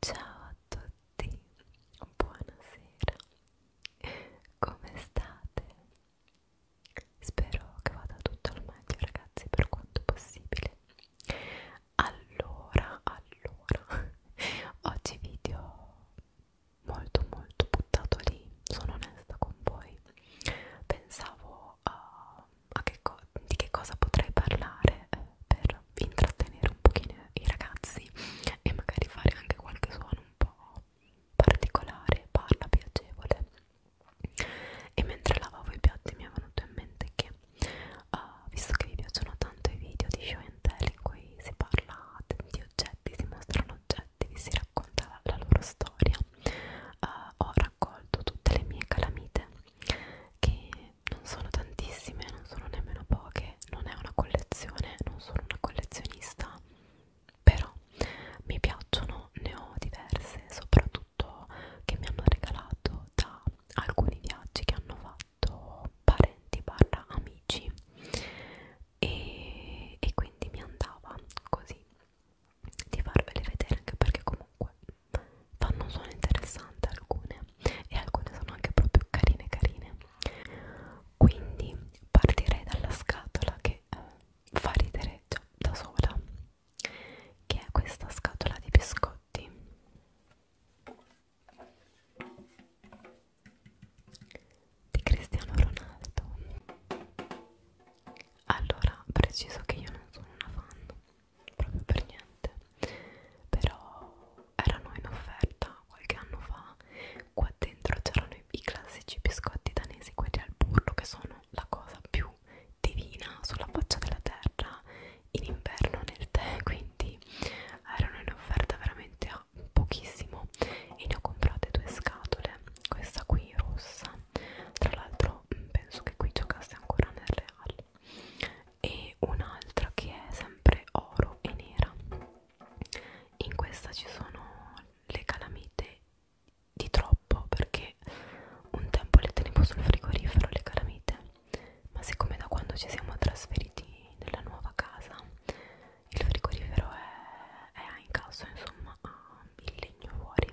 Ciao a tutti, buonasera, come state? Spero che vada tutto al meglio ragazzi per quanto possibile. Allora, allora, oggi video molto molto buttato lì, sono onesta con voi. Pensavo uh, a che di che cosa potrei parlare eh, per intrattenere un pochino i ragazzi e magari fare anche qualche suono un po' particolare, parla piacevole e mentre lavavo i piatti mi è venuto in mente che uh, visto che vi piacciono tanto i video di show and tell in cui si parla di oggetti, si mostrano oggetti oggetti vi si racconta la loro storia uh, ho raccolto tutte le mie calamite che non sono tantissime non sono nemmeno poche non è una collezione non sono una collezionista però mi piacciono ne ho diverse soprattutto che mi hanno regalato da alcuni viaggi che hanno fatto parenti barra amici e, e quindi mi andava così di farvele vedere anche perché comunque fanno un suono interessante alcune e alcune sono anche proprio carine carine quindi partirei dalla scatola che eh, fa ridere già da sola che è questa scatola di biscotti di Cristiano Ronaldo allora, preciso che io non sono una fan, proprio per niente, però erano in offerta qualche anno fa, qua dentro c'erano i, i classici biscotti danesi, quelli al burro, che sono la cosa più divina sulla faccia della terra in inverno nel tè, quindi erano in offerta veramente a pochissimo e ne ho comprate due scatole questa qui rossa tra l'altro mm, penso che qui giocasse ancora nel Real e un'altra che è sempre oro e nera in questa ci sono le calamite di troppo perché un tempo le tenevo sul frigorifero le calamite ma siccome da quando ci siamo trasferiti nella nuova casa il frigorifero è è in casa insomma ha il legno fuori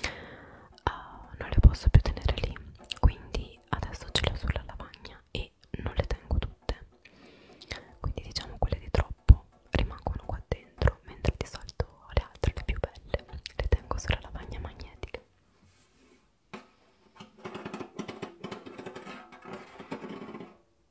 uh, non le posso più tenere lì quindi adesso ce le ho sulla lavagna e non le tengo tutte quindi diciamo quelle di troppo rimangono qua dentro mentre di solito le altre le più belle le tengo sulla lavagna magnetica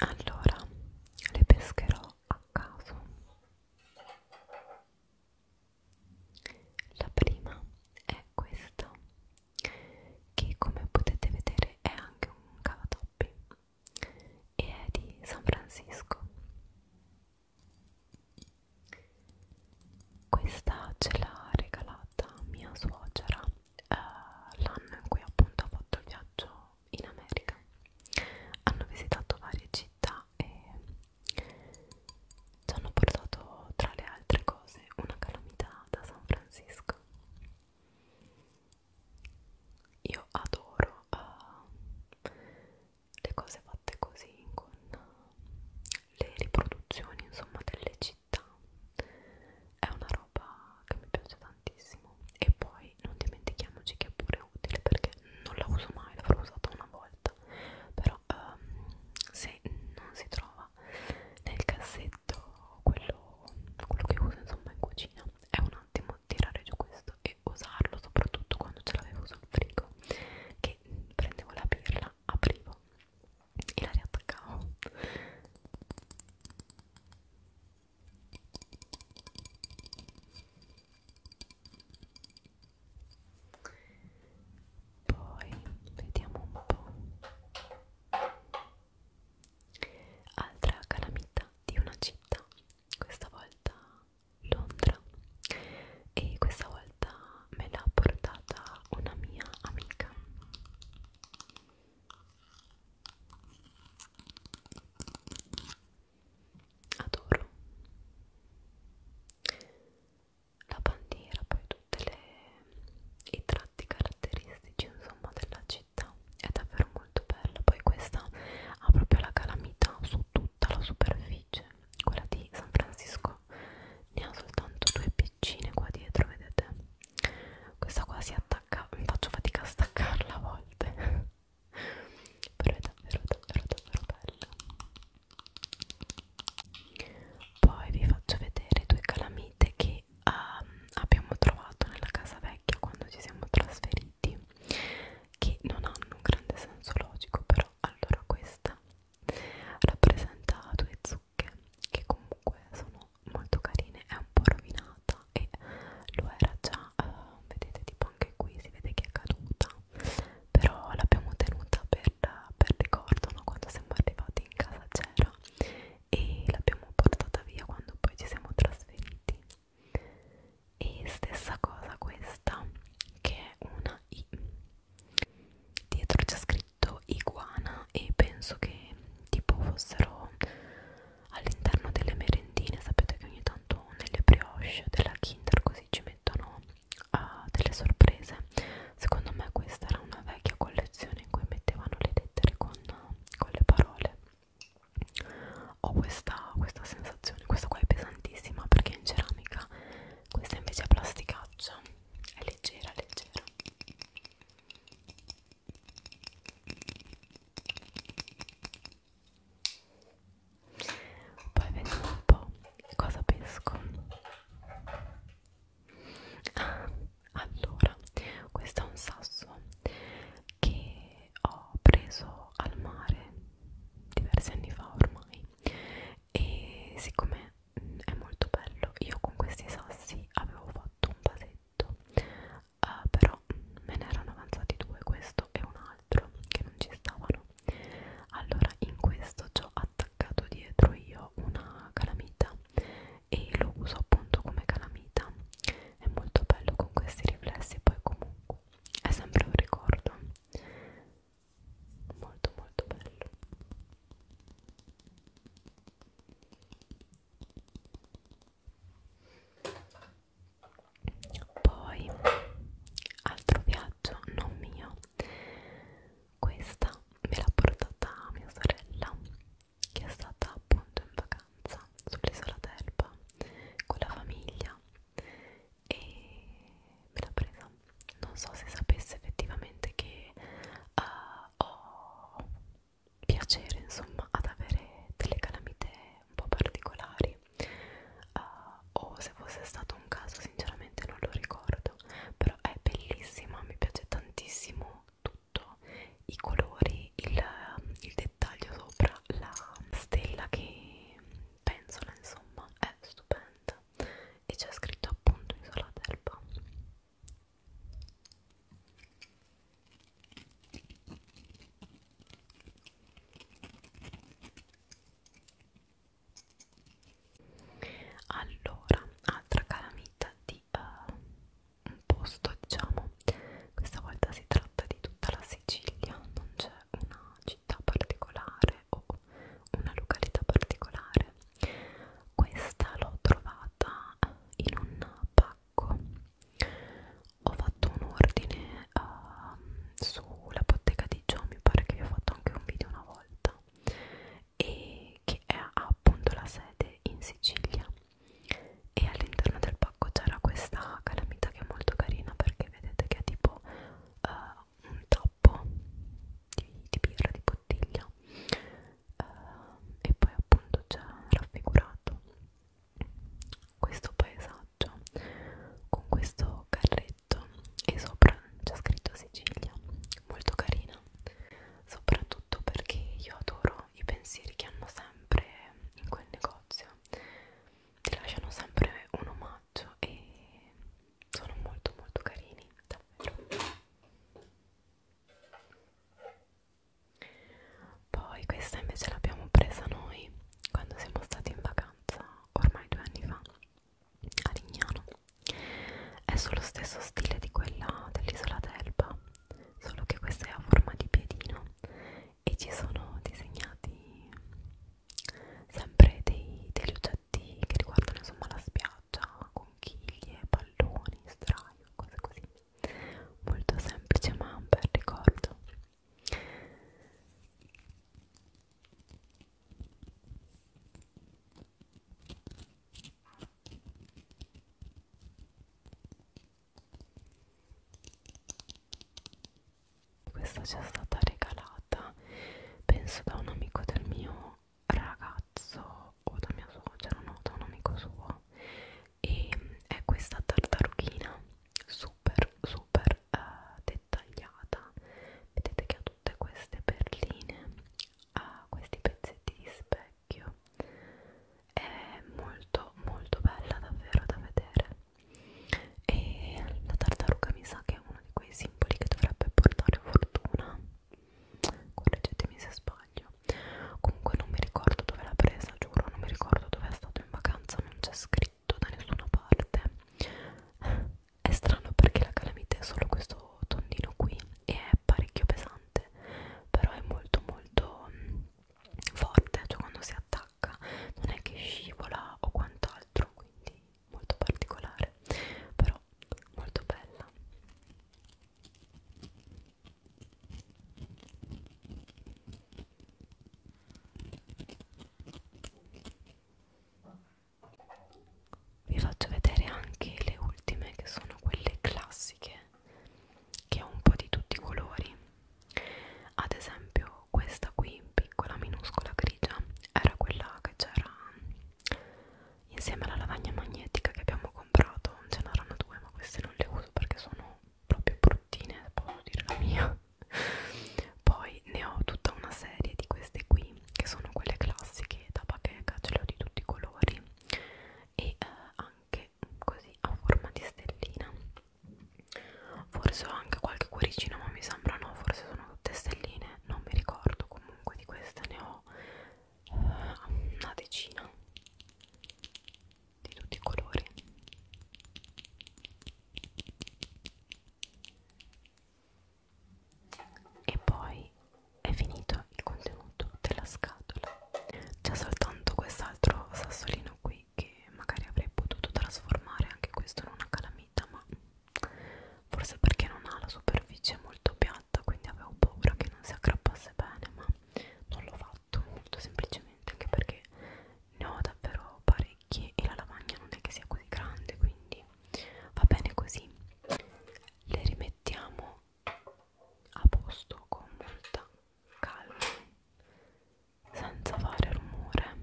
allora le pescherò a caso la prima è questa che come potete vedere è anche un cavatoppi e è di San Francisco questa ce l'ha regalata mia suocera uh, l'anno in cui appunto ho fatto il viaggio in America hanno visitato varie città e ci hanno portato tra le altre cose una calamità da San Francisco io adoro uh, le cose fatte così con uh, le riproduzioni insomma delle città città è una roba che mi piace tantissimo e poi non dimentichiamoci che è pure utile perché non la uso mai, l'avrò usata una volta però um, se non si trova nel cassetto quello, quello che uso insomma in cucina è un attimo tirare giù questo e usarlo soprattutto quando ce l'avevo sul frigo che prendevo la pirla, aprivo e la riattaccavo poi vediamo un po' altra calamità di una città questa volta Londra e questa volta me l'ha portata una mia amica adoro la bandiera poi tutti i tratti caratteristici insomma della città è davvero molto bella poi questa ha proprio la calamità su tutta la superficie quella di San Francisco ne ha soltanto due piccine qua dietro vedete questa qua si attacca faccio fatica a staccarla a volte però è davvero davvero davvero bella poi vi faccio vedere due calamite che um, abbiamo trovato nella casa vecchia quando ci siamo trasferiti che non hanno un grande senso logico però allora questa rappresenta due zucche zucche che comunque sono molto carine è un po' rovinata e lo era già uh, vedete tipo anche qui si vede che è caduta però l'abbiamo tenuta per, per ricordo no? quando siamo arrivati in casa c'era e l'abbiamo portata via quando poi ci siamo trasferiti e stessa cosa questa che è una I dietro c'è scritto detto iguana e penso che tipo fossero all'interno delle merendine sapete che ogni tanto nelle brioche della Kinder così ci mettono uh, delle sorprese secondo me questa era una vecchia collezione in cui mettevano le lettere con, con le parole ho questa, questa sensazione questa qua è pesantissima perché è in ceramica questa invece è plasticaccia è leggera leggera poi vediamo un po' cosa pesco ah, allora questo è un sasso che ho preso al mare diversi anni fa ormai e siccome mm, è molto bello io con questi sassi avevo fatto un vasetto uh, però mm, me ne erano avanzati due questo e un altro che non ci stavano allora in questo ci ho attaccato dietro io una calamita e lo uso appunto come calamita è molto bello con questi riflessi poi comunque è sempre un ricordo molto molto bello poi altro viaggio non mio questa me l'ha portata mia sorella che è stata appunto in vacanza sull'isola d'Elba con la famiglia e me l'ha presa non so se sapesse effettivamente che uh, ho piacere insomma ad avere delle calamite un po' particolari uh, o se fosse stato un caso sinceramente non lo ricordo però è bellissima mi piace tantissimo tutto i colori il, il dettaglio sopra la stella che pensola insomma è stupenda e c'è scritto appunto Isola d'Elba allora altra calamita di uh, un posto diciamo questa volta si tratta di tutta la Sicilia non c'è una città particolare o una località particolare questa l'ho trovata in un pacco ho fatto un ordine uh, sulla bottega di Gio mi pare che vi ho fatto anche un video una volta e che ha appunto la sede in Sicilia e all'interno del pacco c'era questa calamita che è molto carina perché vedete che è tipo uh, un tappo di, di birra di bottiglia uh, e poi appunto c'è raffigurato questo paesaggio con questo carretto e sopra c'è scritto Sicilia molto carina soprattutto perché io adoro i pensieri che hanno sempre in quel negozio ti lasciano sempre un omaggio formaggio e sono molto molto carini davvero poi questa invece l'abbiamo presa noi quando siamo stati in vacanza ormai due anni fa a Lignano è sullo stesso stile di quella dell'isola d'Elba solo che questa è a forma di piedino e ci sono disegnati sempre dei, degli oggetti che riguardano insomma la spiaggia, conchiglie, palloni, straio, cose così molto semplice ma un bel ricordo questa ci è stata regalata penso da un amico del mio ragazzo o da mia suocera no da un amico suo e è questa tartarughina super super eh, dettagliata vedete che ha tutte queste perline ha questi pezzetti di specchio è molto molto bella davvero da vedere e la tartaruga mi sa che è uno di quei simboli che dovrebbe portare fortuna correggetemi se sbaglio comunque non mi ricordo dove l'ha presa giuro non mi ricordo dove è stato in vacanza non c'è scritto da nessuna parte è strano perché la calamita è solo questo tondino qui e è parecchio pesante però è molto molto mm, forte cioè quando si attacca non è che scivola o quant'altro quindi molto particolare però molto bella vi faccio vedere anche le ultime che sono quelle classiche che ho un po' di tutti i colori ad esempio questa qui piccola minuscola grigia era quella che c'era insieme alla lavagna magnetica che abbiamo comprato ce n'erano due ma queste non le uso perché sono proprio bruttine posso dire la mia poi ne ho tutta una serie di queste qui che sono quelle classiche da bacheca ce le ho di tutti i colori e eh, anche così a forma di stellina forse ho anche qualche cuoricino ma mi sembra no forse sono tutte stelline non mi ricordo comunque di queste ne ho eh, una decina di tutti i colori e poi è finito il contenuto della scatola c'è soltanto quest'altro sassolino qui che magari avrei potuto trasformare anche questo in una calamita ma forse perché non ha la superficie molto piatta quindi avevo paura che non si aggrappasse bene ma non l'ho fatto molto semplicemente anche perché ne ho davvero parecchi e la lavagna non è che sia così grande quindi va bene così le rimettiamo a posto con molta calma senza fare rumore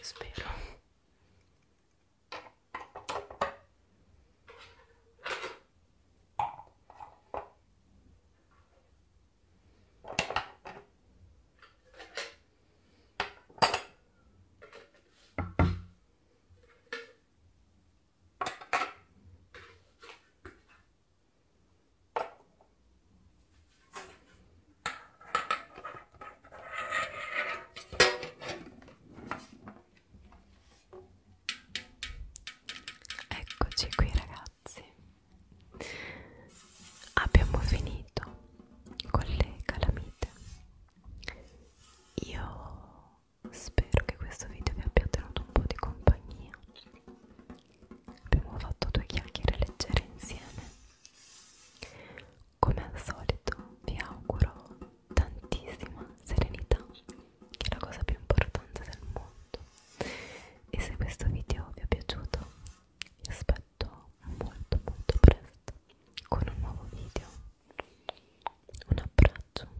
spero Eccoci qui ragazzi, abbiamo finito con le calamite. Io spero che questo video vi abbia tenuto un po' di compagnia. Abbiamo fatto due chiacchiere leggere insieme come al solito vi auguro tantissima serenità, che è la cosa più importante del mondo. E se questo video vi è piaciuto, vi aspetto molto molto presto con un nuovo video. Un abbraccio.